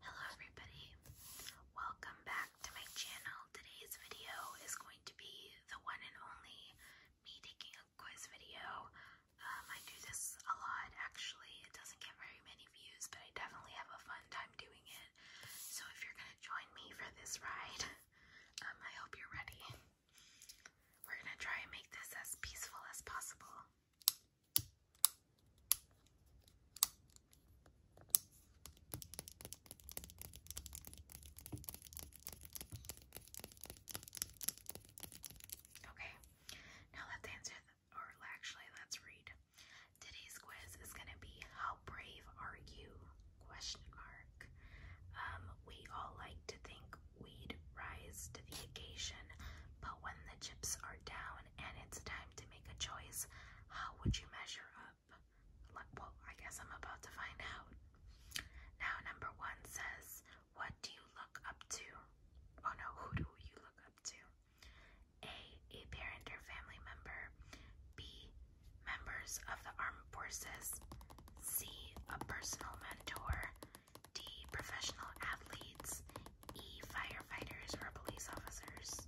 Hello everybody. Welcome back to my channel. Today's video is going to be the one and only me taking a quiz video. Um, I do this a lot actually. It doesn't get very many views, but I definitely have a fun time doing it. So if you're gonna join me for this ride, um, I hope you're ready. We're gonna try and make this as peaceful as possible. Okay, now let's answer, or actually, let's read Today's quiz is going to be how brave are you? Question mark. Um, we all like to think we rise to the occasion, but when the chips are down and it's time to make a choice, how would you measure up? Well, I guess I'm about to find out. Now, number one says, What do you look up to? Oh no, who do you look up to? A. A parent or family member. B. Members of the armed forces. C. A personal mentor. D. Professional athletes. E. Firefighters or police officers.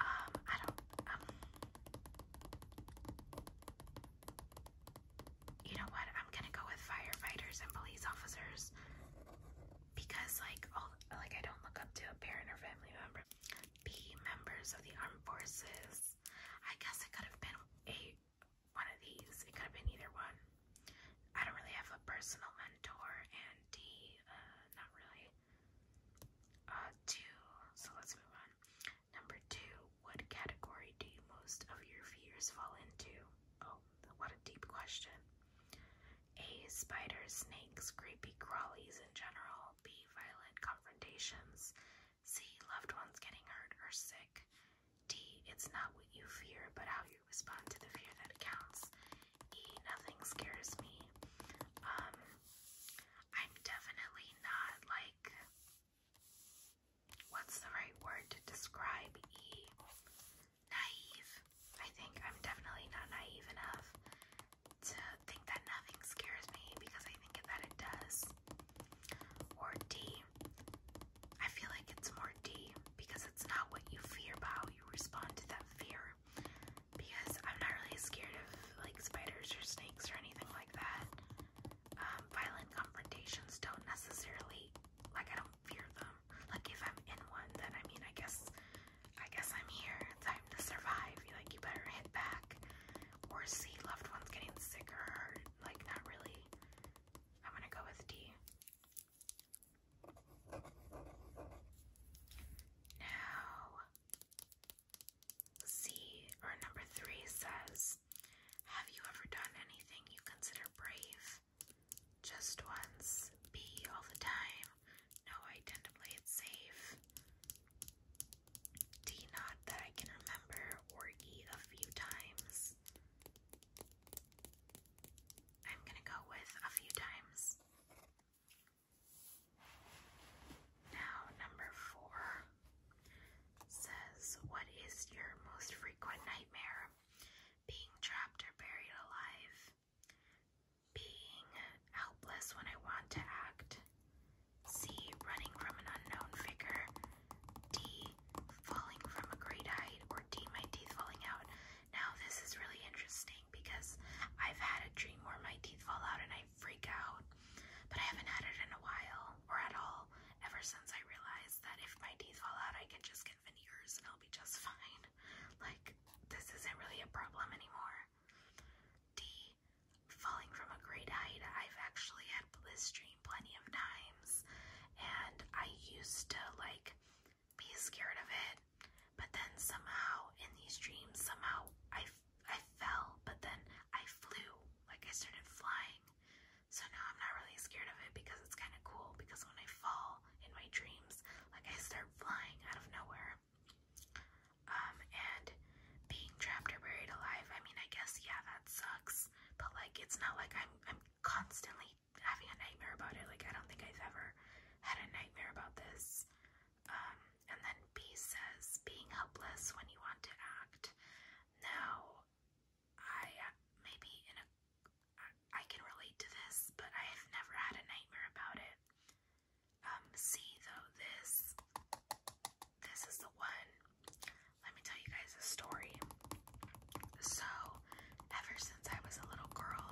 Um, I don't. Um, you know what? I'm gonna go with firefighters and police officers because, like, like I don't look up to a parent or family member be members of the armed forces. I guess it could have been a one of these. It could have been either one. I don't really have a personal mentor, and D, uh, not really. Uh, two. So let's move on. Number two. What category do most of your fears fall into? Oh, what a deep question. A. Spiders, snakes, creepy crawlies in general. B. Violent confrontations. C. Loved ones getting hurt or sick. D. It's not what you fear, but how you respond to the fear that counts. E. Nothing scares me. Um, I'm definitely not like. What's the right word to describe E? naive. I think I'm definitely not naive enough to think that nothing scares me because I think that it does. Or D, I feel like it's more D because it's not what you fear but how you respond to that fear. Because I'm not really scared of like spiders or snakes or anything like that. Um, violent confrontations don't necessarily, like, I don't fear them like if I'm in one, then I mean, I guess, I guess I'm here. Time to survive. You like, you better hit back or see loved ones getting sick or hurt. Like, not really. I'm gonna go with D. Now, C or number three says, "Have you ever done anything you consider brave?" Just once. B all the time. No, I tend to play it safe. D not that I can remember, or E a few times. I'm gonna go with a few times. Now, number four says, What is your most frequent nightmare? Being trapped or buried alive, being helpless when I want to act. C. Running from an unknown figure. D. Falling from a great height. Or D. My teeth falling out. Now, this is really interesting because I've had a dream where my teeth fall out and I freak out, but I haven't had it in a while or at all ever since I realized that if my teeth fall out, I can just and veneers and I'll be just fine. Like, this isn't really a problem anymore. D. Falling from a great height. I've actually had blistering plenty of times, and I used to, like, be scared of it. But then somehow, in these dreams, somehow I, I fell, but then I flew. Like, I started flying. So now I'm not really scared of it because it's kind of cool because when I fall, in my dreams. Like I start flying out of nowhere. Um, and being trapped or buried alive, I mean, I guess, yeah, that sucks. But like, it's not like I'm, I'm constantly having a nightmare about it. Like, I don't think I've ever had a nightmare about this. Um, and then B says, being helpless when you want to act. Now, I, uh, maybe in a I can relate to this, but I have never had a nightmare about it. Um, see though, this this is the one. Let me tell you guys a story. So, ever since I was a little girl,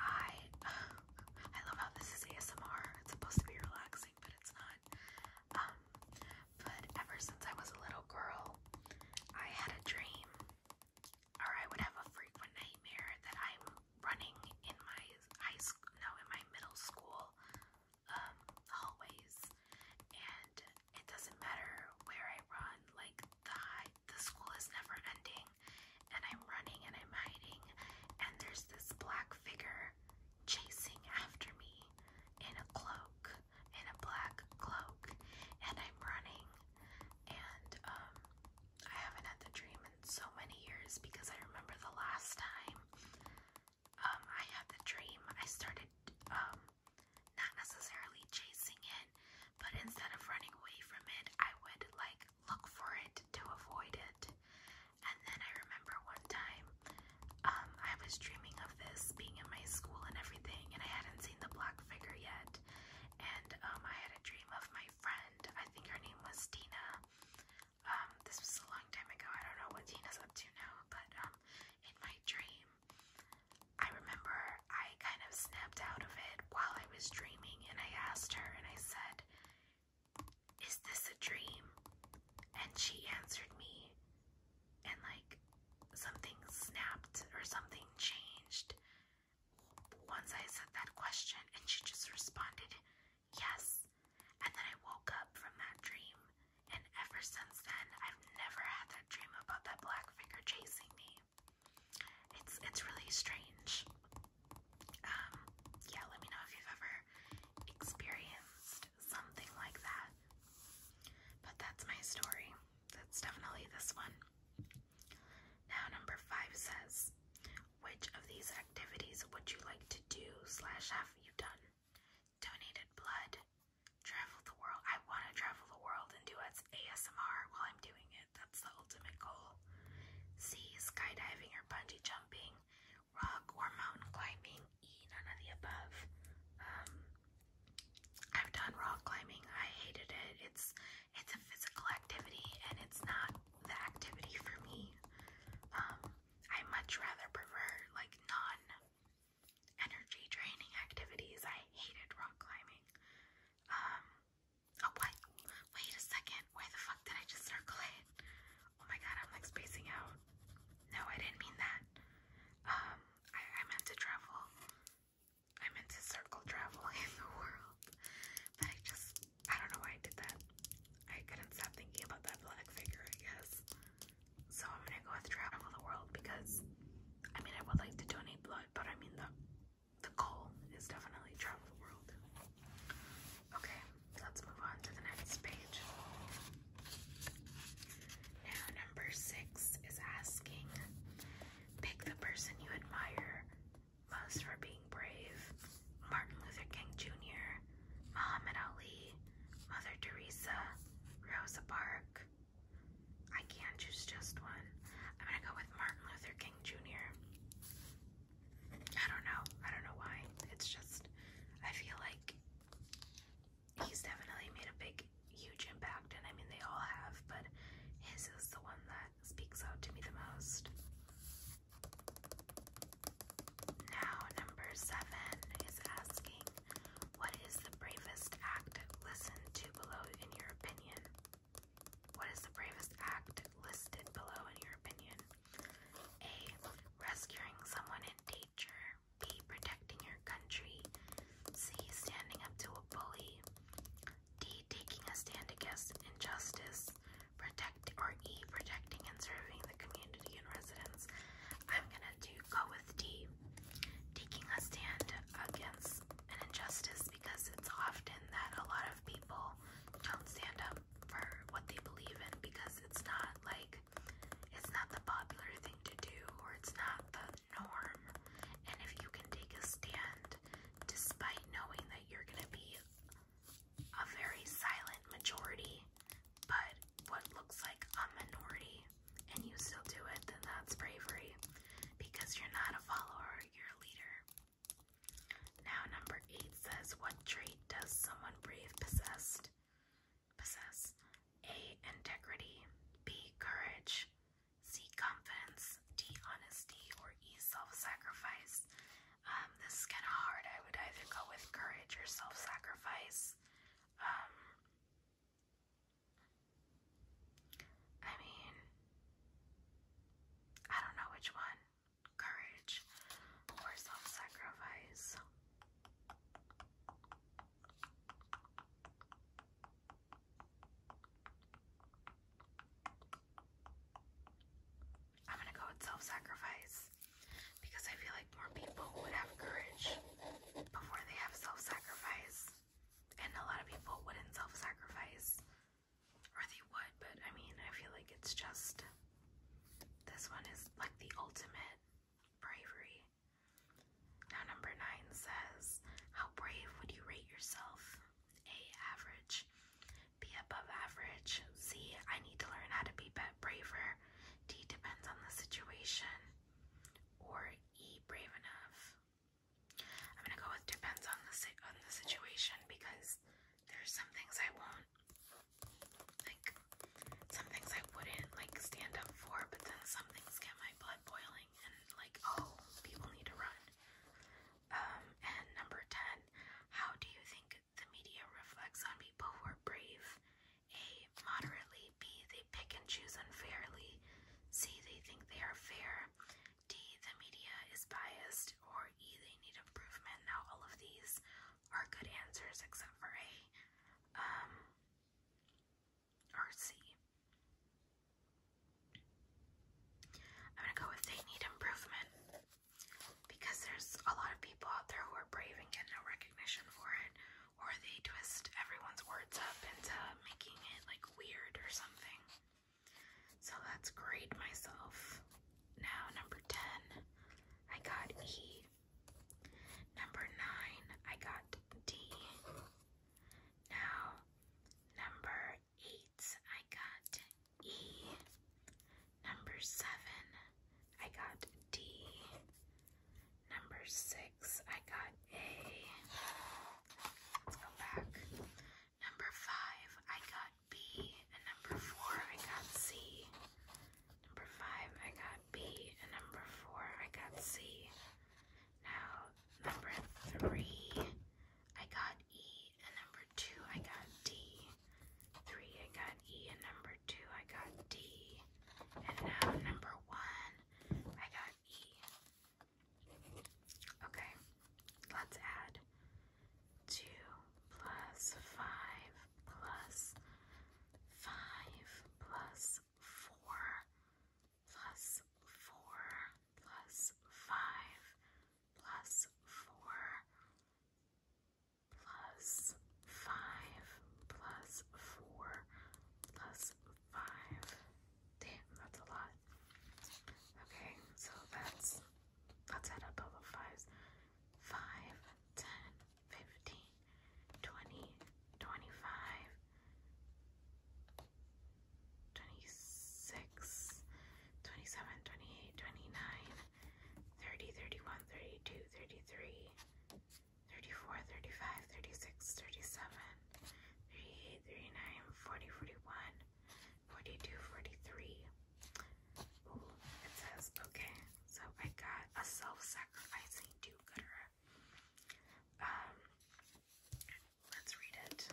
I I love how this is ASMR. It's supposed to be relaxing, but it's not. Um, but ever since I was a little girl, I had a dream or I would have a frequent nightmare that I'm running in my high school, no, in my middle school um, hallways, and it doesn't matter where I run. Like the high, the school is never ending, and I'm running and I'm hiding, and there's this black figure chasing after me in a cloak, in a black cloak, and I'm running and um, I haven't had the dream in so many years because I remember the last time um, I had the dream, I started um, not necessarily chasing it, but instead of running away from it, I would like look for it to avoid it. And then I remember one time um, I was dreaming of this being in my school and everything, and I hadn't seen the black figure yet and um, I had a dream of my friend. I think her name was Dina. Um, this was a long time ago. I don't know what Dina's up to now, but um, in my dream, I remember I kind of snapped out of it while I was dreaming, and I asked her, and I said, "Is this a dream?" And she answered me, and like something snapped or something changed. Once I said that question, and she just responded, Yes. And then I woke up from that dream, and ever since then, I've never had that dream about that black figure chasing me. It's it's really strange. Um, yeah, let me know if you've ever experienced something like that. But that's my story that's definitely this one. Now, number five says, which of these activities would you like to do slash have you done? Donated blood, travel the world. I want to travel the world and do ASMR while I'm doing it. That's the ultimate goal. C, skydiving or bungee jumping, rock or mountain climbing. E, none of the above. Um, I've done rock climbing. I hated it. It's it's a physical activity and it's not the activity for me. Um, I much rather prefer like non energy training activities. I hated rock climbing. Um oh what wait a second, where the fuck did I just circle it? Oh my god, I'm like spacing out. No, I didn't mean that. Um, I meant to travel. I'm into circle traveling in the world. But I just, I don't know why I did that. I couldn't stop thinking about that black figure, I So I'm gonna go with travel the world because, I mean, I would like to donate blood, but I mean, the, the goal is definitely travel the world. Okay, let's move on to the next page. Now, number six is asking pick the person you admire most for being brave Martin Luther King Jr., Muhammad Ali, Mother Teresa, Rosa Parks. I can't choose just one. I'm gonna go with Martin Luther King Jr. I don't know. I don't know why. It's just, I feel like he's definitely made a big, huge impact, and I mean, they all have, but his is the one that speaks out to me the most. Now, number seven is asking, What is the bravest act listened below in your opinion? What is the bravest act listed below in your opinion? A. Rescuing someone in danger. B. Protecting your country. C. Standing up to a bully. D. Taking a stand against injustice. Protect or E. Protecting and serving the community and residents. I'm gonna do go with D. Taking a stand against an injustice because it's often that a lot of people don't stand up for what they believe in because it's not like it's not the popular thing to do or it's not the norm. And if you can take a stand despite knowing that you're going to be a very silent majority, but what looks like a minority, and you still do it, then that's bravery because you're not a follower, you're a leader. Now, number eight says, What trait does someone brave possessed? possess. A. Integrity. B. Courage. C. Confidence. D. Honesty. Or E. Self sacrifice. Um, this is kind of hard. I would either go with courage or self sacrifice. Um, I mean, I don't know which one courage or self sacrifice. I'm gonna go with self sacrifice because I feel like more people would have courage before they have self sacrifice, and a lot of people wouldn't self sacrifice or they would, but I mean, I feel like it's just this one is like the ultimate bravery. Now, number nine says, How brave would you rate yourself? A. Average. B. Above average. C. I need to learn how to be braver. D. Depends on the situation. Or E. Brave enough. I'm going to go with depends on the, on the situation because there's some things I won't like some things I wouldn't like stand up for, but then some things get my blood boiling and like, oh, people need to run. Um, and number 10, how do you think the media reflects on people who are brave? A, moderately, B, they pick and choose unfairly, C, they think they are fair, D, the media is biased, or E, they need improvement. Now, all of these are good answers except for A. Um, or C. I'm gonna go with they need improvement because there's a lot of people out there who are brave and get no recognition for it, or they twist everyone's words up into making it like weird or something. So let grade myself. Now, number 10, I got E. Number nine, I got D. Now, number eight, I got E. Number seven, I got D. Number six, I got A. Let's go back. Number five, I got B. And number four, I got C. Number five, I got B, and number four, I got C. Now, number three, I got E, and number two, I got D. Three, I got E, and number two, I got D. And now, number one, I got E. Okay, let's add two plus five plus five plus four plus four plus five plus four plus five plus four plus five. Damn, that's a lot. Okay, so that's let add up all the fives. Five, ten, fifteen, twenty, twenty-five, twenty-six, twenty-seven, twenty-eight, twenty-nine, thirty, thirty-one, thirty-two, thirty-three, thirty-four, thirty-five, thirty-six, thirty-seven, thirty-eight, thirty-nine, forty, forty-one, forty-two, forty-three. Ooh, it says okay. So I got a self sacrificing do gooder. Um, let's read it.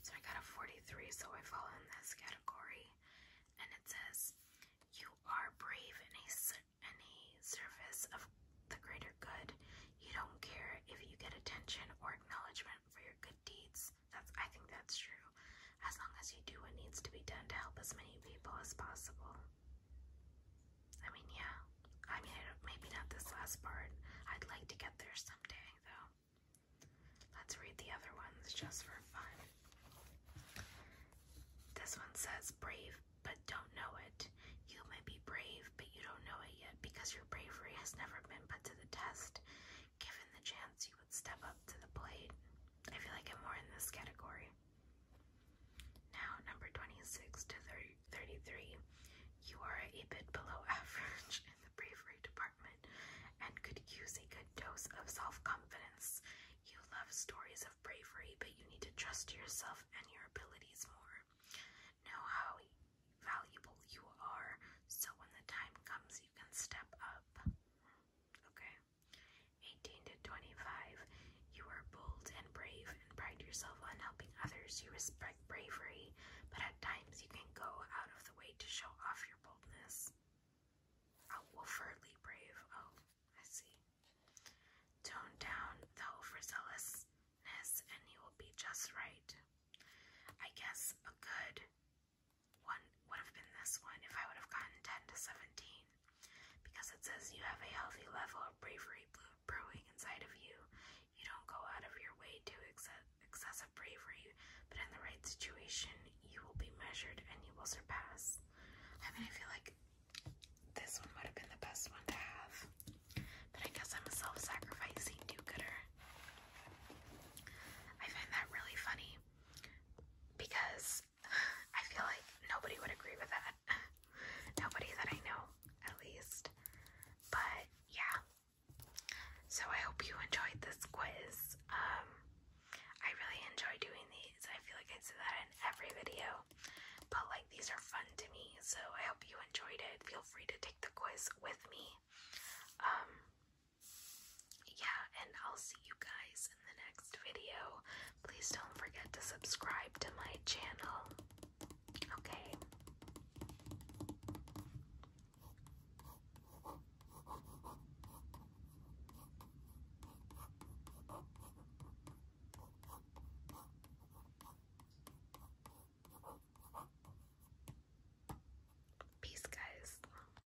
So I got a 43, so I fall in this category, and it says, "You are brave in a in a service of the greater good. You don't care if you get attention or acknowledgement for your good deeds." That's I think that's true as long as you do what needs to be done to help as many people as possible. I mean, yeah, I mean, maybe not this last part. I'd like to get there someday, though. Let's read the other ones just for fun. This one says, brave but don't know it. You may be brave, but you don't know it yet because your bravery has never been put to the test. Given the chance, you would step up to the plate. I feel like I'm more in this category. Now, number 26 to 33, you are a bit below average in the bravery department and could use a good dose of self confidence. You love stories of bravery, but you need to trust yourself and your abilities more. Know how valuable you are so when the time comes, you can step up. Okay. 18 to 25. You are bold and brave and pride yourself on helping others. You respect bravery, but at times you can go out of the way to show off your boldness. Oh, overtly brave. Oh, I see. Tone down the overzealousness and you will be just right. I guess a good one would have been this one if I would have gotten 10 to 17. Because it says you have a healthy level of bravery brewing inside of you. You don't go out of your way to excessive bravery, but in the right situation, you will be measured and you will surpass. I mean, I feel like this one would have been the best one to have. But I guess I'm a self sacrificing do gooder. I find that really funny because I feel like nobody would agree with that. nobody that I know, at least. But yeah. So I hope you enjoyed this quiz. Um I really enjoy doing these. I feel like I say that in every video. But like these are fun to me. So I hope you enjoyed it. Feel free to take the quiz with me. Um yeah, and I'll see you guys in the next video. Please don't forget to subscribe to my channel. Okay. Peace, guys.